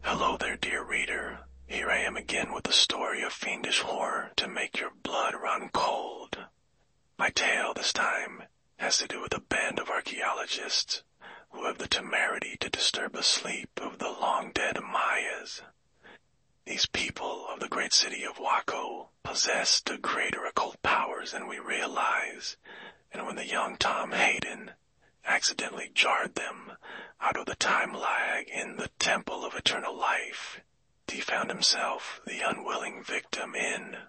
Hello there, dear reader. Here I am again with a story of fiendish horror to make your blood run cold. My tale this time has to do with a band of archaeologists who have the temerity to disturb the sleep of the long dead Mayas. These people of the great city of Waco possessed a greater occult powers than we realize, and when the young Tom Hayden accidentally jarred them out of the time lag in the Temple of Eternal Life, he found himself the unwilling victim in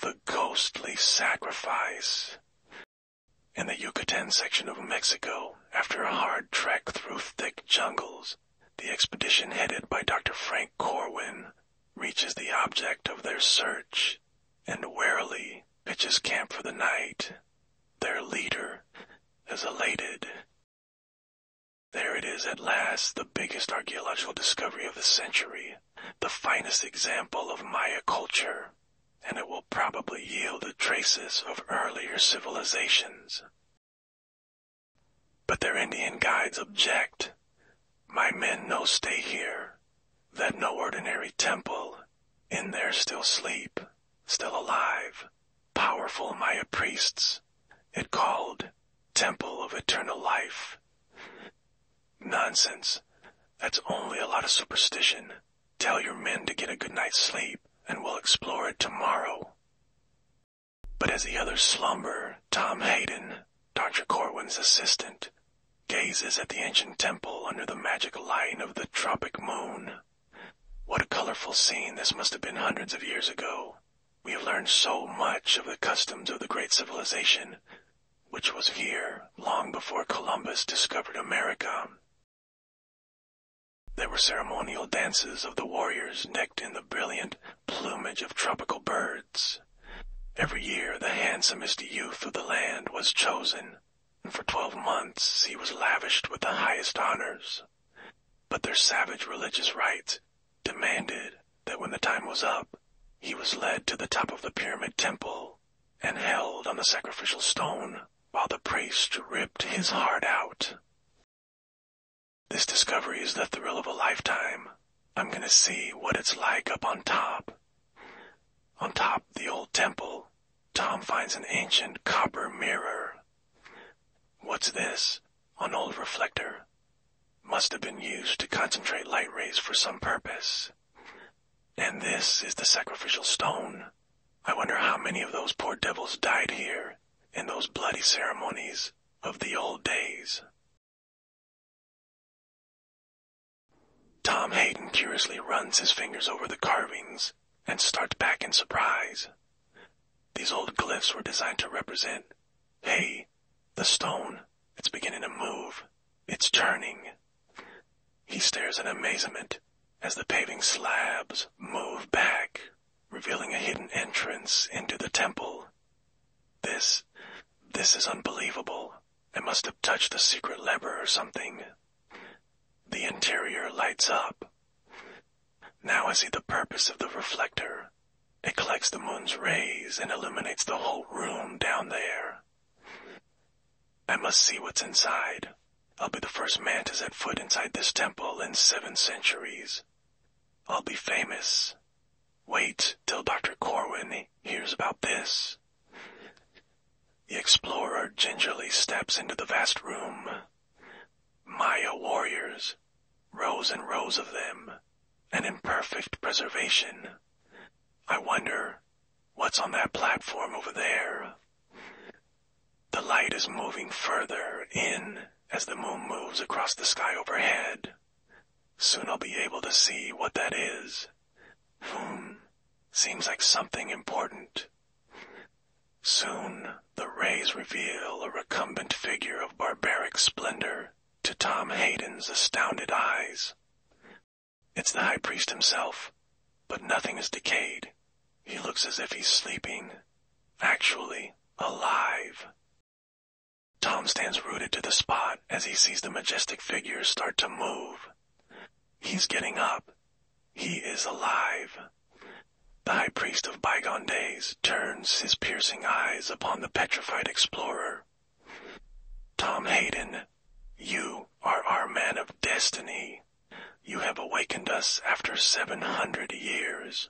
the ghostly sacrifice. In the Yucatan section of Mexico, after a hard trek through thick jungles, the expedition headed by Dr. Frank Corwin reaches the object of their search and warily pitches camp for the night. Their leader is elated. There it is at last, the biggest archaeological discovery of the century, the finest example of Maya culture, and it will probably yield traces of earlier civilizations. But their Indian guides object. My men no stay here, that no ordinary temple. In there still sleep, still alive, powerful Maya priests. It called Temple of Eternal Life. Nonsense. That's only a lot of superstition. Tell your men to get a good night's sleep, and we'll explore it tomorrow. But as the others slumber, Tom Hayden, Dr. Corwin's assistant, gazes at the ancient temple under the magic light of the tropic moon. What a colorful scene this must have been hundreds of years ago. We have learned so much of the customs of the great civilization, which was here long before Columbus discovered America. There were ceremonial dances of the warriors decked in the brilliant plumage of tropical birds. Every year the handsomest youth of the land was chosen, and for twelve months he was lavished with the highest honors. But their savage religious rites demanded that when the time was up, he was led to the top of the pyramid temple and held on the sacrificial stone while the priest ripped his heart out. This discovery is the thrill of a lifetime. I'm gonna see what it's like up on top. On top the old temple, Tom finds an ancient copper mirror. What's this? An old reflector. Must have been used to concentrate light rays for some purpose. And this is the sacrificial stone. I wonder how many of those poor devils died here in those bloody ceremonies of the old days. Tom Hayden curiously runs his fingers over the carvings and starts back in surprise. These old glyphs were designed to represent, hey, the stone, it's beginning to move, it's turning. He stares in amazement as the paving slabs move back, revealing a hidden entrance into the temple. This, this is unbelievable. It must have touched the secret lever or something. The interior lights up. Now I see the purpose of the reflector. It collects the moon's rays and illuminates the whole room down there. I must see what's inside. I'll be the first man to set foot inside this temple in seven centuries. I'll be famous. Wait till Dr. Corwin hears about this. The explorer gingerly steps into the vast room. Maya warriors, rows and rows of them, and in perfect preservation. I wonder what's on that platform over there. The light is moving further in as the moon moves across the sky overhead. Soon I'll be able to see what that is. Hmm, seems like something important. Soon, the rays reveal a recumbent figure of barbaric splendor to Tom Hayden's astounded eyes. It's the high priest himself, but nothing is decayed. He looks as if he's sleeping, actually alive. Tom stands rooted to the spot as he sees the majestic figure start to move. He's getting up. He is alive. The high priest of bygone days turns his piercing eyes upon the petrified explorer. Tom Hayden you are our man of destiny. You have awakened us after seven hundred years.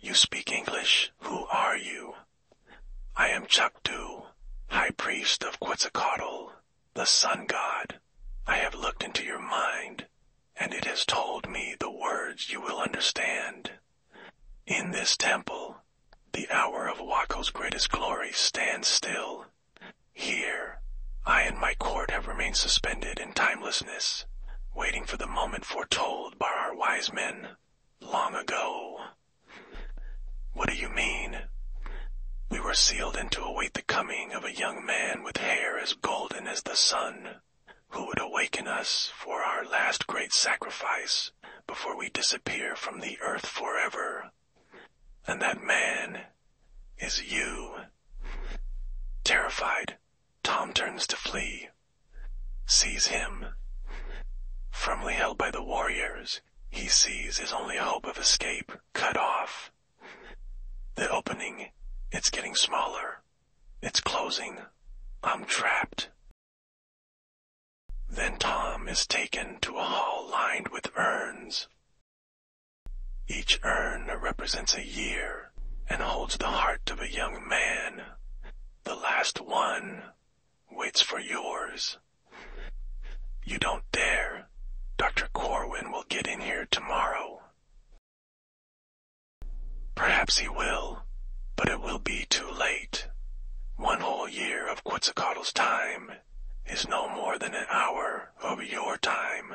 You speak English. Who are you? I am Chakdu, High Priest of Quetzalcoatl, the Sun God. I have looked into your mind, and it has told me the words you will understand. In this temple, the hour of Wako's greatest glory stands still. Here, I and my court have remained suspended in timelessness, waiting for the moment foretold by our wise men long ago. What do you mean? We were sealed in to await the coming of a young man with hair as golden as the sun, who would awaken us for our last great sacrifice before we disappear from the earth forever. And that man is you. Terrified, Tom turns to flee, sees him. Firmly held by the warriors, he sees his only hope of escape cut off. The opening, it's getting smaller. It's closing. I'm trapped. Then Tom is taken to a hall lined with urns. Each urn represents a year and holds the heart of a young man. The last one waits for yours. You don't dare. Dr. Corwin will get in here tomorrow. Perhaps he will, but it will be too late. One whole year of Quetzalcoatl's time is no more than an hour of your time.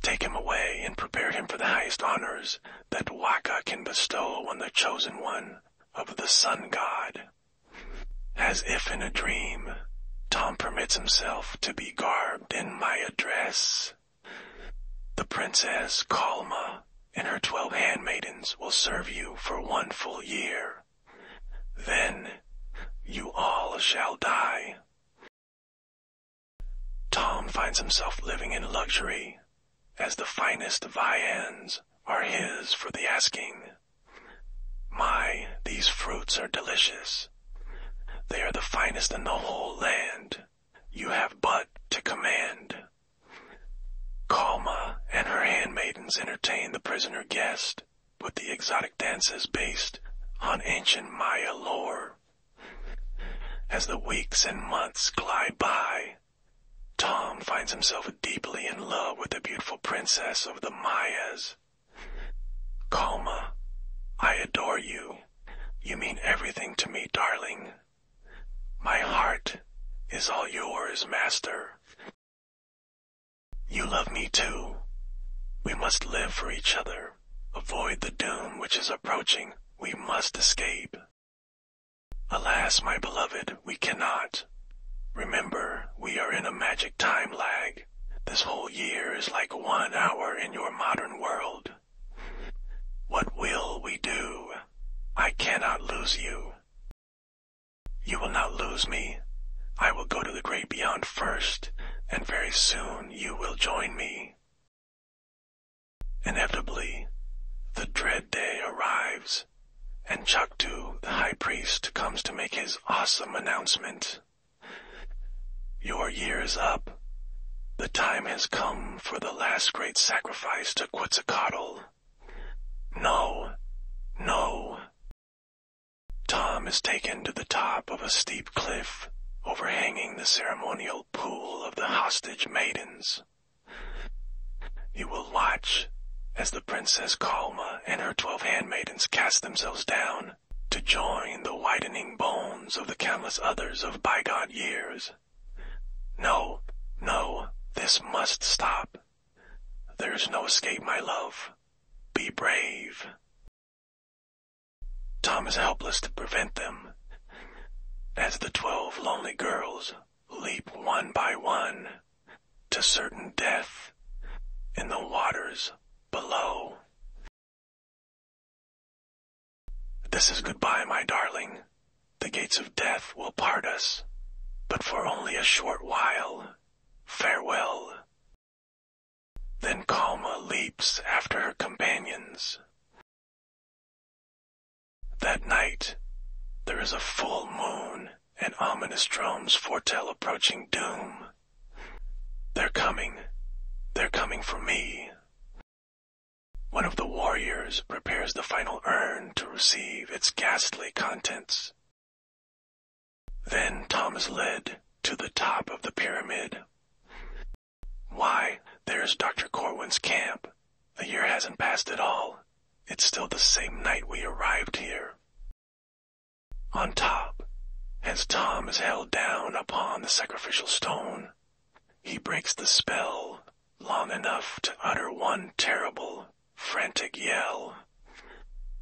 Take him away and prepare him for the highest honors that Waka can bestow on the chosen one of the sun god. As if in a dream, Tom permits himself to be garbed in my dress. The princess Calma and her twelve handmaidens will serve you for one full year. Then you all shall die. Tom finds himself living in luxury, as the finest viands are his for the asking. My, these fruits are delicious. They are the finest in the whole land. You have but to command. Kalma and her handmaidens entertain the prisoner guest with the exotic dances based on ancient Maya lore. As the weeks and months glide by, Tom finds himself deeply in love with the beautiful princess of the Mayas. Kalma, I adore you. You mean everything to me, darling. My heart is all yours, Master. You love me too. We must live for each other. Avoid the doom which is approaching. We must escape. Alas, my beloved, we cannot. Remember, we are in a magic time lag. This whole year is like one hour in your modern world. What will we do? I cannot lose you. You will not lose me. I will go to the great beyond first, and very soon you will join me. Inevitably, the dread day arrives, and Chaktu, the high priest, comes to make his awesome announcement. Your year is up. The time has come for the last great sacrifice to Quetzalcoatl. No, no. Tom is taken to the top of a steep cliff overhanging the ceremonial pool of the hostage maidens. He will watch as the Princess Kalma and her twelve handmaidens cast themselves down to join the widening bones of the countless others of bygone years. No, no, this must stop. There's no escape, my love. Be brave. Tom is helpless to prevent them. As the twelve lonely girls leap one by one to certain death in the waters below. This is goodbye, my darling. The gates of death will part us, but for only a short while. Farewell. Then Kalma leaps after her companions. That night, there is a full moon, and ominous drums foretell approaching doom. They're coming. They're coming for me. One of the warriors prepares the final urn to receive its ghastly contents. Then Tom is led to the top of the pyramid. Why, there's Dr. Corwin's camp. The year hasn't passed at all. It's still the same night we arrived here. On top, as Tom is held down upon the sacrificial stone, he breaks the spell long enough to utter one terrible, frantic yell.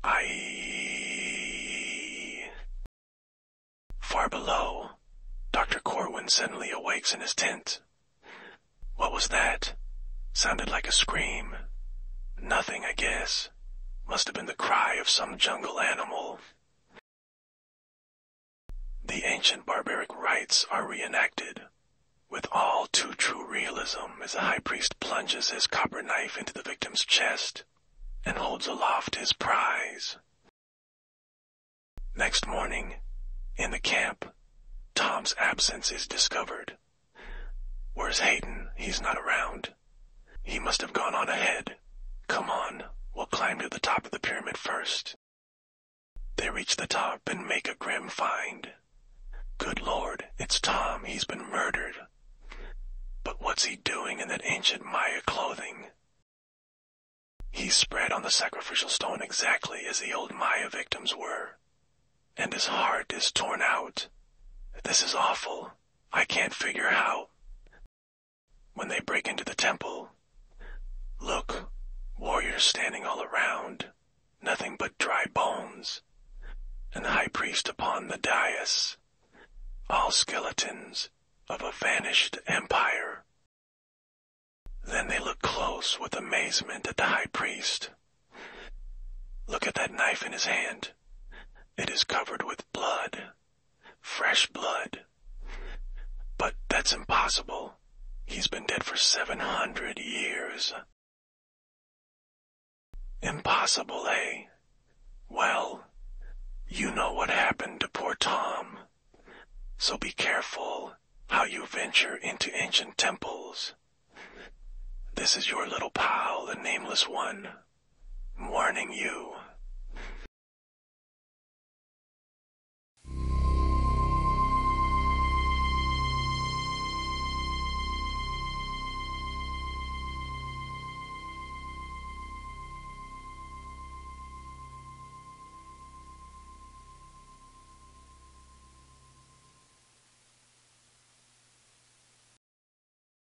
I. Far below, Dr. Corwin suddenly awakes in his tent. What was that? Sounded like a scream. Nothing, I guess. Must have been the cry of some jungle animal. The ancient barbaric rites are reenacted. With all too true realism, as the high priest plunges his copper knife into the victim's chest and holds aloft his prize. Next morning, in the camp, Tom's absence is discovered. Where's Hayden? He's not around. He must have gone on ahead. Come on, we'll climb to the top of the pyramid first. They reach the top and make a grim find. Good lord, it's Tom, he's been murdered. But what's he doing in that ancient Maya clothing? He's spread on the sacrificial stone exactly as the old Maya victims were. And his heart is torn out. This is awful. I can't figure how. When they break into the temple, look, warriors standing all around, nothing but dry bones, and the high priest upon the dais, all skeletons of a vanished empire. Then they look close with amazement at the high priest. Look at that knife in his hand. It is covered with blood Fresh blood. But that's impossible. He's been dead for 700 years. Impossible, eh? Well, you know what happened to poor Tom. So be careful how you venture into ancient temples. This is your little pal, the Nameless One warning you.